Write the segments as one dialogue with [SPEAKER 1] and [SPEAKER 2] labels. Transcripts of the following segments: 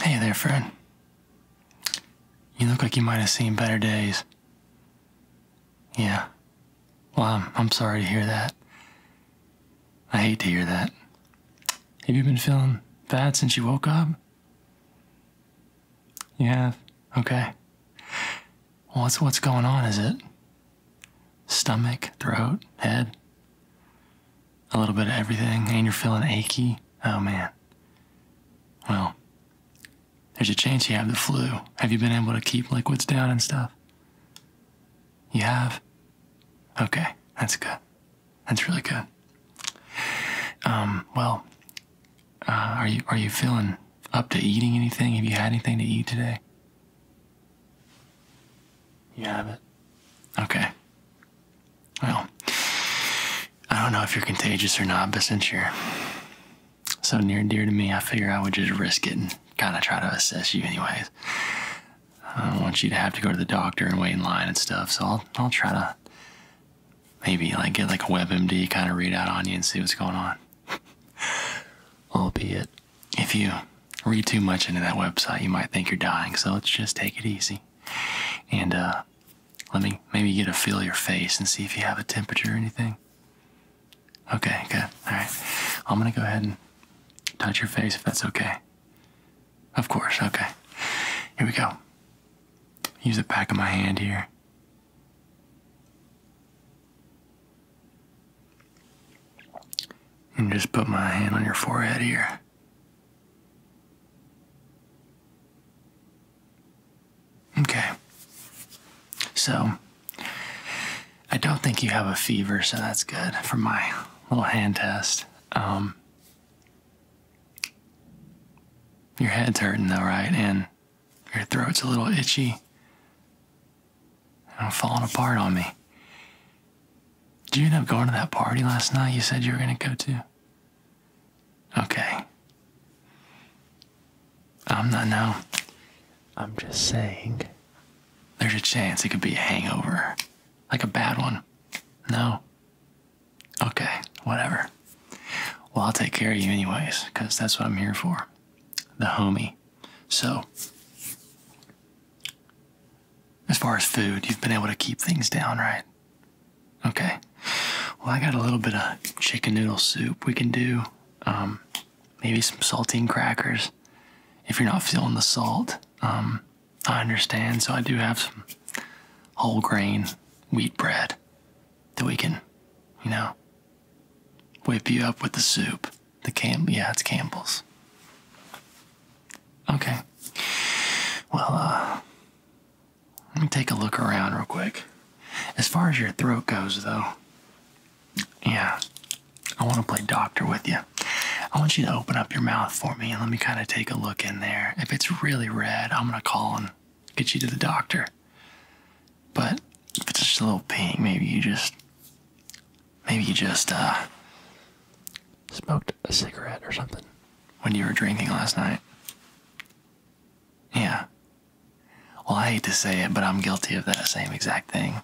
[SPEAKER 1] Hey there, friend. You look like you might have seen better days. Yeah. Well, I'm, sorry to hear that. I hate to hear that. Have you been feeling bad since you woke up? You have? Okay. Well, what's, what's going on, is it? Stomach, throat, head? a little bit of everything, and you're feeling achy, oh man. Well, there's a chance you have the flu. Have you been able to keep liquids down and stuff? You have? Okay, that's good. That's really good. Um, well, uh, are you are you feeling up to eating anything? Have you had anything to eat today? You have it. Okay. Well, I don't know if you're contagious or not, but since you're so near and dear to me, I figure I would just risk it and kind of try to assess you, anyways. I don't want you to have to go to the doctor and wait in line and stuff, so I'll, I'll try to maybe like get like a WebMD kind of readout on you and see what's going on. be it. if you read too much into that website, you might think you're dying, so let's just take it easy. And uh, let me maybe get a feel of your face and see if you have a temperature or anything. Okay, good. All right. I'm going to go ahead and touch your face if that's okay. Of course, okay. Here we go. Use the back of my hand here. And just put my hand on your forehead here. Okay. So, I don't think you have a fever, so that's good for my little hand test. Um, your head's hurting though, right? And your throat's a little itchy. And falling apart on me. Did you end up going to that party last night you said you were going to go to? Okay. I'm not now. I'm just saying. There's a chance it could be a hangover. Like a bad one. No? Okay, whatever. Well, I'll take care of you anyways, because that's what I'm here for. The homie. So, as far as food, you've been able to keep things down, right? Okay. Well, I got a little bit of chicken noodle soup we can do. Um, maybe some saltine crackers. If you're not feeling the salt, um, I understand. So I do have some whole grain wheat bread that we can, you know, whip you up with the soup. The camp, yeah, it's Campbell's. Okay. Well, uh, let me take a look around real quick. As far as your throat goes, though, yeah, I want to play doctor with you. I want you to open up your mouth for me and let me kind of take a look in there. If it's really red, I'm going to call and get you to the doctor. But if it's just a little pink, maybe you just, maybe you just, uh, smoked a cigarette or something when you were drinking last night. Yeah. Well, I hate to say it, but I'm guilty of that same exact thing.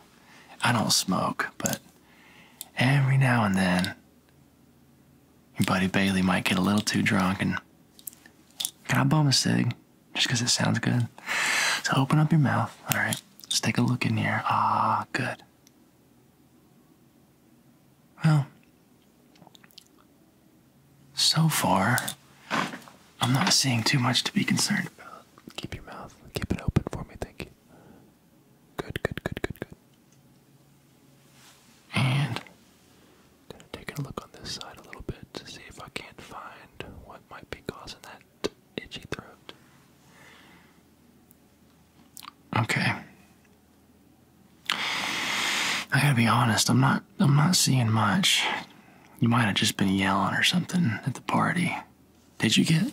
[SPEAKER 1] I don't smoke, but every now and then, your buddy Bailey might get a little too drunk and. Can I bum a cig? Just because it sounds good. So open up your mouth, alright? Let's take a look in here. Ah, good. Well, so far, I'm not seeing too much to be concerned about. Keep your mouth, keep it open for me, thank you. Good, good, good, good, good. And gonna take a look on this side a little bit to see if I can't find what might be causing that itchy throat. Okay. I gotta be honest, I'm not I'm not seeing much. You might have just been yelling or something at the party. Did you get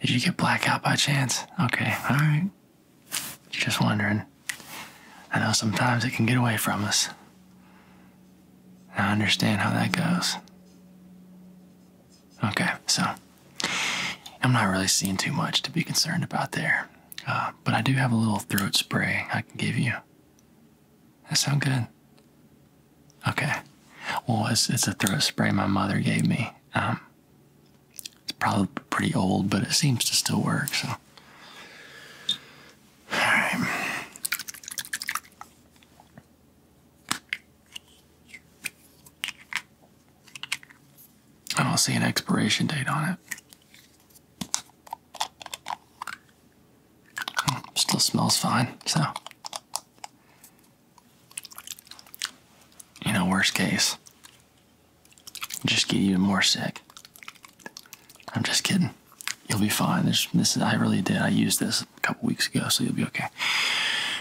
[SPEAKER 1] did you get blackout by chance? Okay, alright. Just wondering. I know sometimes it can get away from us. I understand how that goes. Okay, so I'm not really seeing too much to be concerned about there, uh, but I do have a little throat spray I can give you. That sound good? Okay. Well, it's, a throat spray my mother gave me. Um, it's probably pretty old, but it seems to still work. So, all right. I don't see an expiration date on it. Hmm, still smells fine, so. You know, worst case, just get even more sick. I'm just kidding. You'll be fine. this I really did. I used this a couple weeks ago, so you'll be okay.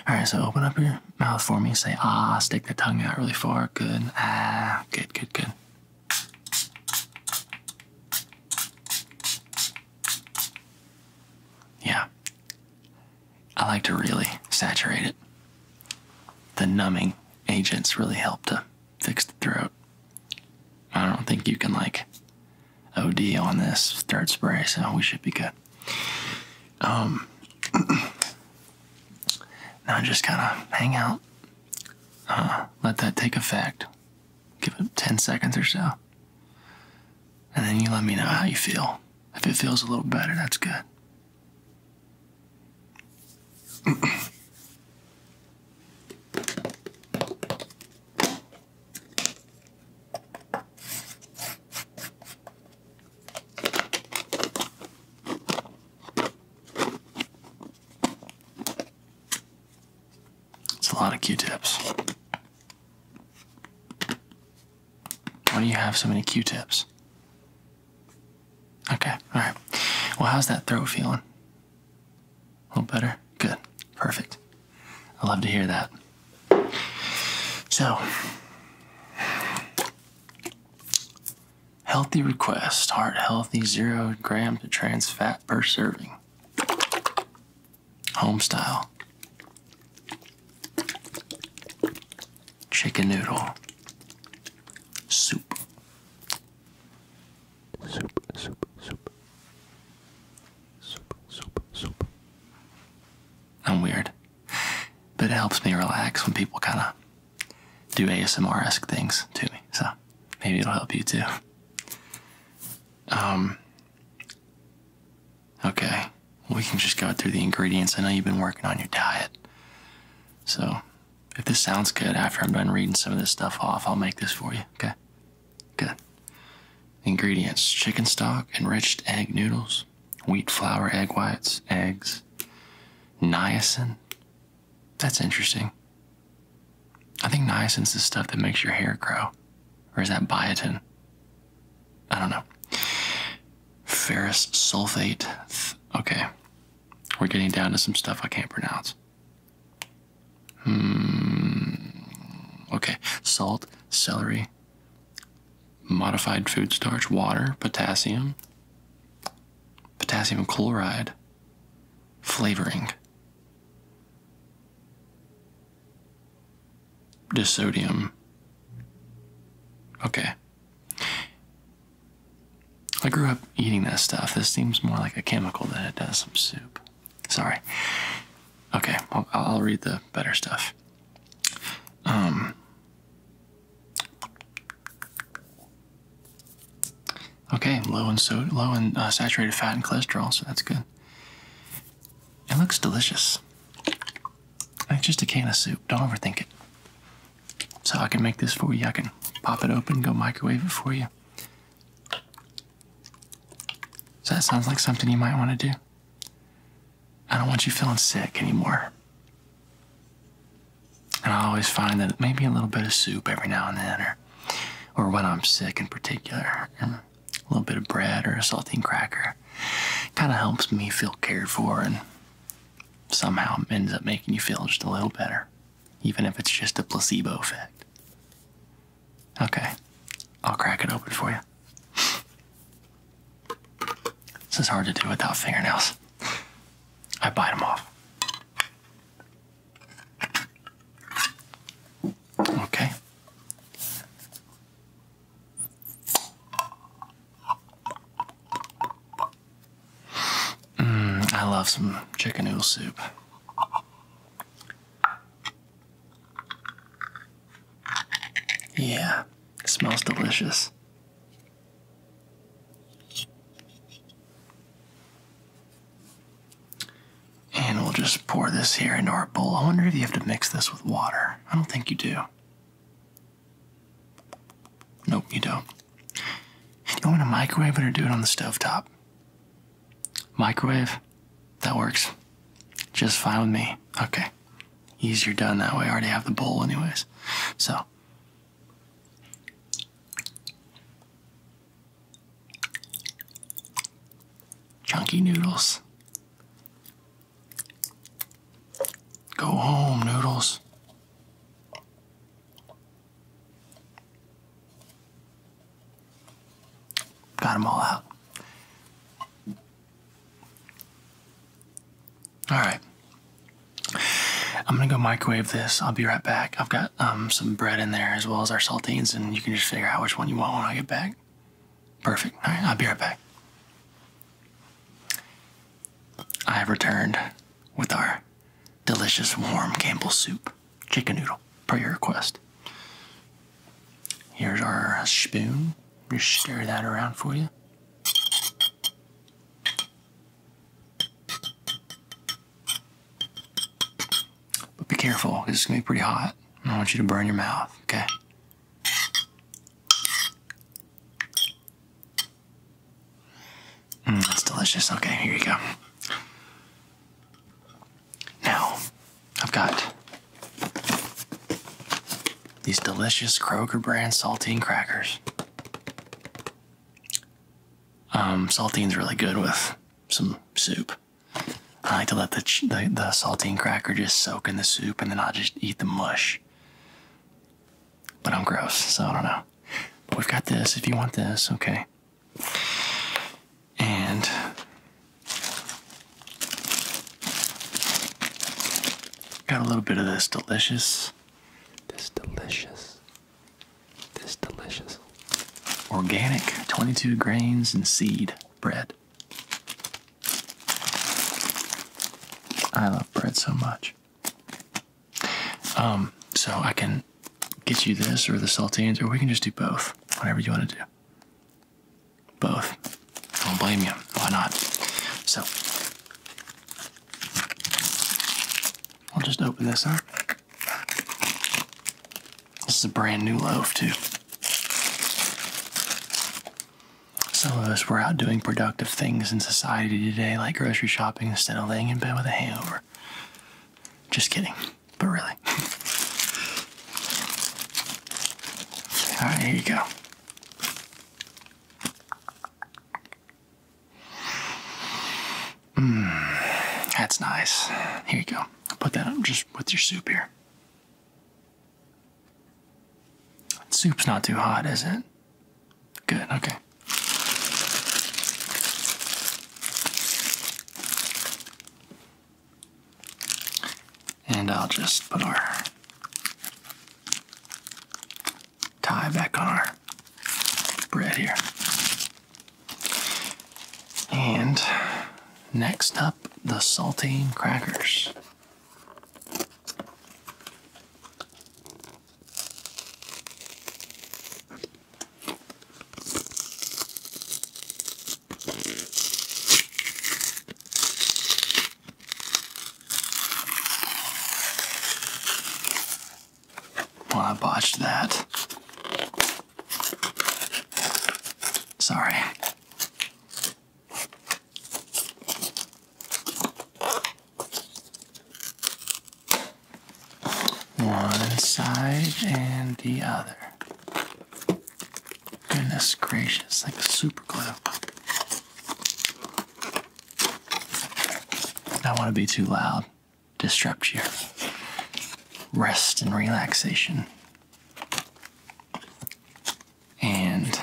[SPEAKER 1] All right, so open up here mouth for me. Say ah, stick the tongue out really far. Good. Ah, good, good, good. Yeah. I like to really saturate it. The numbing agents really help to fix the throat. I don't think you can, like, OD on this third spray, so we should be good that. Um, now just kind of hang out, uh, let that take effect, give it 10 seconds or so, and then you let me know how you feel. If it feels a little better, that's good. It's a lot of Q-tips. Why do you have so many Q-tips? Okay, all right. Well, how's that throat feeling? A little better? Good. Perfect. I love to hear that. So, healthy request, heart healthy, zero gram to trans fat per serving. Home style. Chicken noodle. Soup. Soup, soup, soup. Soup, soup, soup. I'm weird. But it helps me relax when people kind of do ASMR esque things to me. So maybe it'll help you too. Um, okay, we can just go through the ingredients. I know you've been working on your diet. So if this sounds good after I'm done reading some of this stuff off, I'll make this for you. Okay? Good. Ingredients chicken stock, enriched egg noodles, wheat flour, egg whites, eggs, niacin. That's interesting. I think niacin's the stuff that makes your hair grow. Or is that biotin? I don't know. Ferrous sulfate. Okay. We're getting down to some stuff I can't pronounce. Hmm. Okay. Salt, celery, modified food starch, water, potassium, potassium chloride, flavoring, disodium. Okay. I grew up eating that stuff. This seems more like a chemical than it does some soup. Sorry. Okay, I'll, I'll read the better stuff. Um, okay, low and so low in uh, saturated fat and cholesterol, so that's good. It looks delicious. It's just a can of soup. Don't overthink it. So I can make this for you. I can pop it open, go microwave it for you. So that sounds like something you might want to do. I don't want you feeling sick anymore. And I always find that maybe a little bit of soup every now and then, or, or when I'm sick in particular, a little bit of bread or a saltine cracker, kind of helps me feel cared for and somehow ends up making you feel just a little better, even if it's just a placebo effect. Okay, I'll crack it open for you. This is hard to do without fingernails. I bite them off. Okay. Mm, I love some chicken noodle soup. Yeah, smells delicious. And we'll just pour this here into our bowl. I wonder if you have to mix this with water. I don't think you do. Nope, you don't. You want to microwave it or do it on the stove top? Microwave? That works. Just fine with me. Okay. Easier done that way. I already have the bowl, anyways. So. Chunky noodles. Go home, noodles. Got them all out. All right. I'm gonna go microwave this. I'll be right back. I've got um, some bread in there as well as our saltines, and you can just figure out which one you want when I get back. Perfect. All right, I'll be right back. I have returned with our delicious warm Campbell soup, chicken noodle, per your request. Here's our spoon. Just stir that around for you. But be careful, it's going to be pretty hot. I don't want you to burn your mouth, okay? Mm, that's delicious. Okay, here you go. Now, I've got these delicious Kroger brand saltine crackers. Um, saltine's really good with some soup. I like to let the, the, the saltine cracker just soak in the soup and then I'll just eat the mush. But I'm gross, so I don't know. But we've got this if you want this, okay. And Got a little bit of this delicious, this delicious, this delicious organic 22 grains and seed bread. I love bread so much. Um, so I can get you this or the saltines, or we can just do both, whatever you want to do. Both. I Don't blame you. Why not? So, I'll just open this up. This is a brand new loaf, too. Some of us were out doing productive things in society today, like grocery shopping, instead of laying in bed with a hangover. Just kidding, but really. All ah, right, here you go. Mmm, that's nice. Here you go. Put that up just with your soup here. Soup's not too hot, is it? Good, okay. And I'll just put our tie back on our bread here. And next up, the saltine crackers. Well, I botched that. Sorry. One side and the other. Goodness gracious, like a super glue. I don't want to be too loud, disrupt your rest and relaxation. And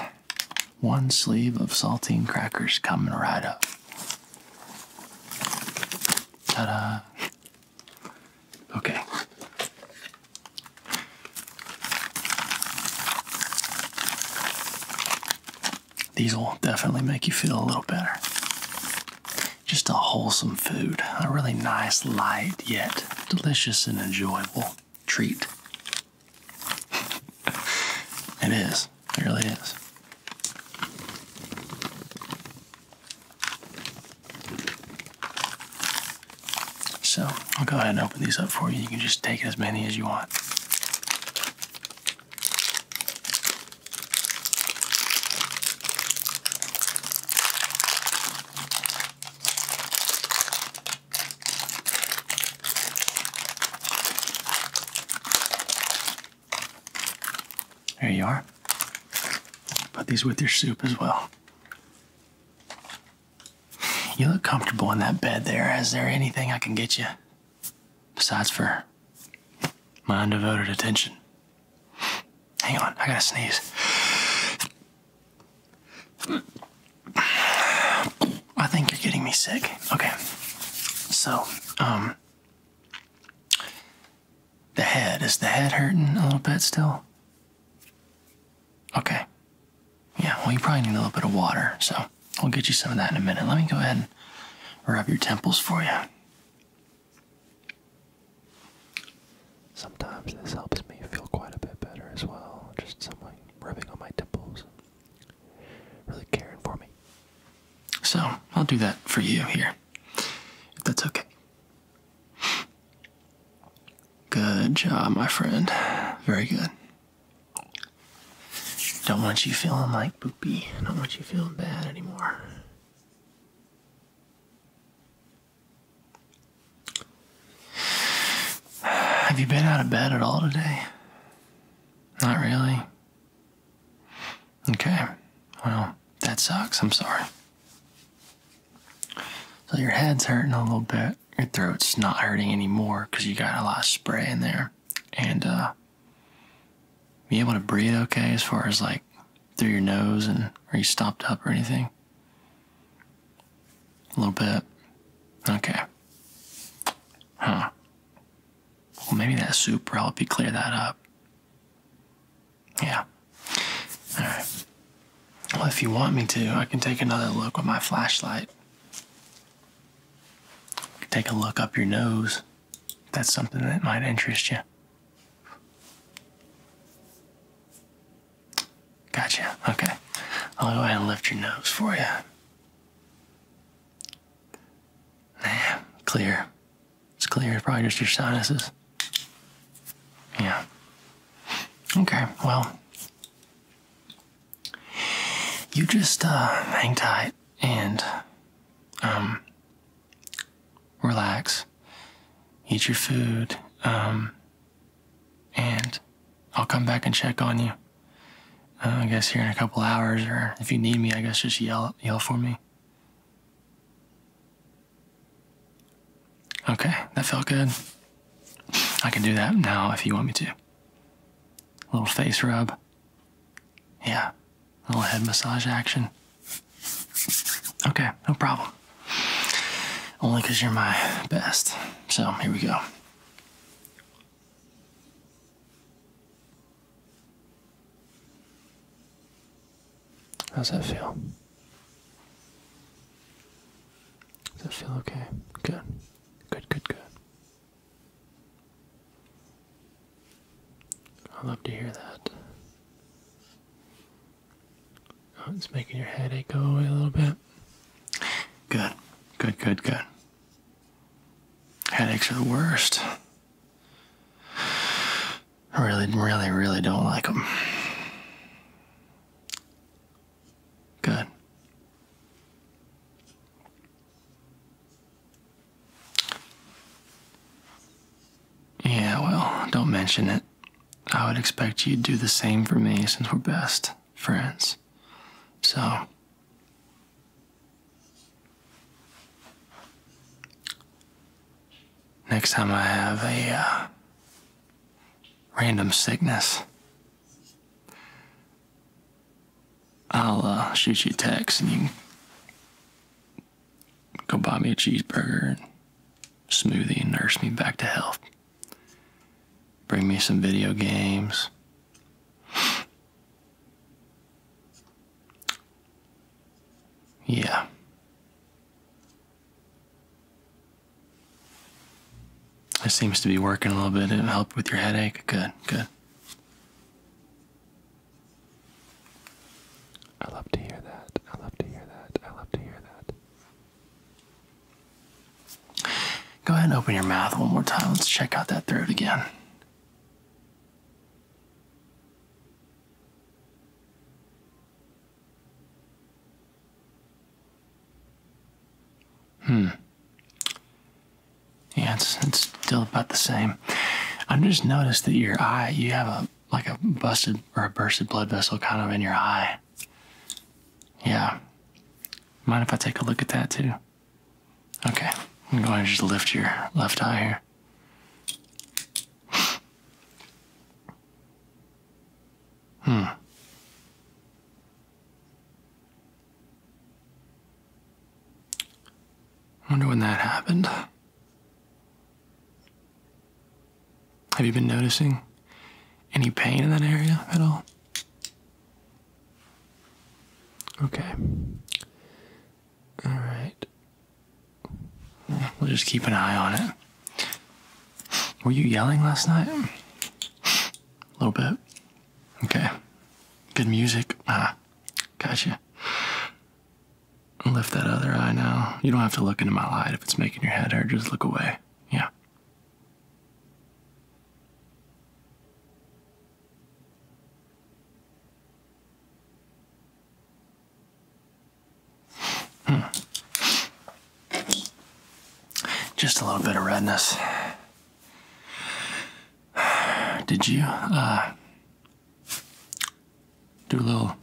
[SPEAKER 1] one sleeve of saltine crackers coming right up. Ta da! Okay. These will definitely make you feel a little better. Just a wholesome food, a really nice, light, yet delicious and enjoyable treat. it is, it really is. So I'll go ahead and open these up for you. You can just take as many as you want. There you are. Put these with your soup as well. You look comfortable in that bed there. Is there anything I can get you besides for my undevoted attention? Hang on, I gotta sneeze. I think you're getting me sick. Okay. So, um, the head. Is the head hurting a little bit still? Okay. Yeah, well, you probably need a little bit of water, so we'll get you some of that in a minute. Let me go ahead and rub your temples for you. Sometimes this helps me feel quite a bit better as well. Just someone rubbing on my temples, really caring for me. So I'll do that for you here, if that's okay. Good job, my friend. Very good. Don't want you feeling like poopy. Don't want you feeling bad anymore. Have you been out of bed at all today? Not really. Okay. Well, that sucks. I'm sorry. So your head's hurting a little bit. Your throat's not hurting anymore because you got a lot of spray in there. And uh, be able to breathe okay as far as like through your nose and are you stopped up or anything? A little bit. Okay. Huh. Well, maybe that soup will help you clear that up. Yeah. All right. Well, if you want me to, I can take another look with my flashlight. Take a look up your nose. That's something that might interest you. Gotcha. Okay. I'll go ahead and lift your nose for you. Nah, clear. It's clear. It's probably just your sinuses. Yeah. Okay, well, you just uh, hang tight and um, relax, eat your food, um, and I'll come back and check on you. Uh, I guess here in a couple hours, or if you need me, I guess just yell yell for me. Okay, that felt good. I can do that now if you want me to. A little face rub. Yeah, a little head massage action. Okay, no problem. Only because you're my best. So here we go. How's that feel? Does that feel okay? Good. Good, good, good. I love to hear that. Oh, it's making your headache go away a little bit. Good, good, good, good. Headaches are the worst. I really, really, really don't like them. Good. Yeah, well, don't mention it. I would expect you'd do the same for me since we're best friends. So. Next time I have a uh, Random sickness. I'll uh, shoot you a text and you go buy me a cheeseburger and smoothie and nurse me back to health. Bring me some video games. Yeah. This seems to be working a little bit. It helped with your headache. Good, good. I love to hear that. I love to hear that. I love to hear that. Go ahead and open your mouth one more time. Let's check out that throat again. Hmm. Yeah, it's, still about the same. i just noticed that your eye, you have a like a busted or a bursted blood vessel kind of in your eye. Yeah. Mind if I take a look at that too? Okay. I'm going to just lift your left eye here. Hmm. Wonder when that happened. Have you been noticing any pain in that area at all? Okay. All right. We'll just keep an eye on it. Were you yelling last night? A little bit. Okay. Good music. Ah, gotcha. Lift that other eye now. You don't have to look into my light if it's making your head hurt. Just look away. Yeah. Just a little bit of redness. Did you uh, do a little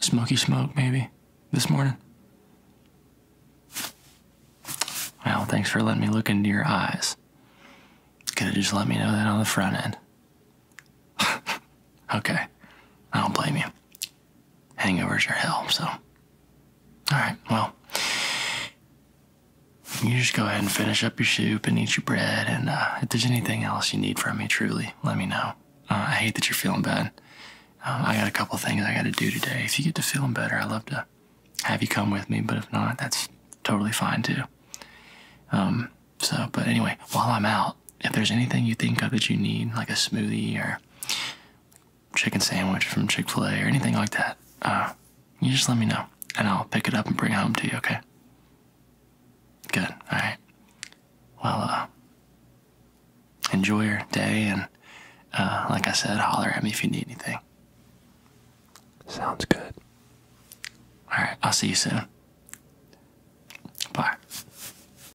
[SPEAKER 1] smoky smoke maybe this morning? Well, thanks for letting me look into your eyes. Could have just let me know that on the front end. okay, I don't blame you. Hangovers are hell, so. Alright, well. You just go ahead and finish up your soup and eat your bread, and uh, if there's anything else you need from me, truly, let me know. Uh, I hate that you're feeling bad. Um, I got a couple things I got to do today. If you get to feeling better, I'd love to have you come with me, but if not, that's totally fine too. Um, so, but anyway, while I'm out, if there's anything you think of that you need, like a smoothie or chicken sandwich from Chick Fil A or anything like that, uh, you just let me know, and I'll pick it up and bring it home to you. Okay? Good. All right. Well, uh, enjoy your day, and uh, like I said, holler at me if you need anything. Sounds good. All right. I'll see you soon. Bye.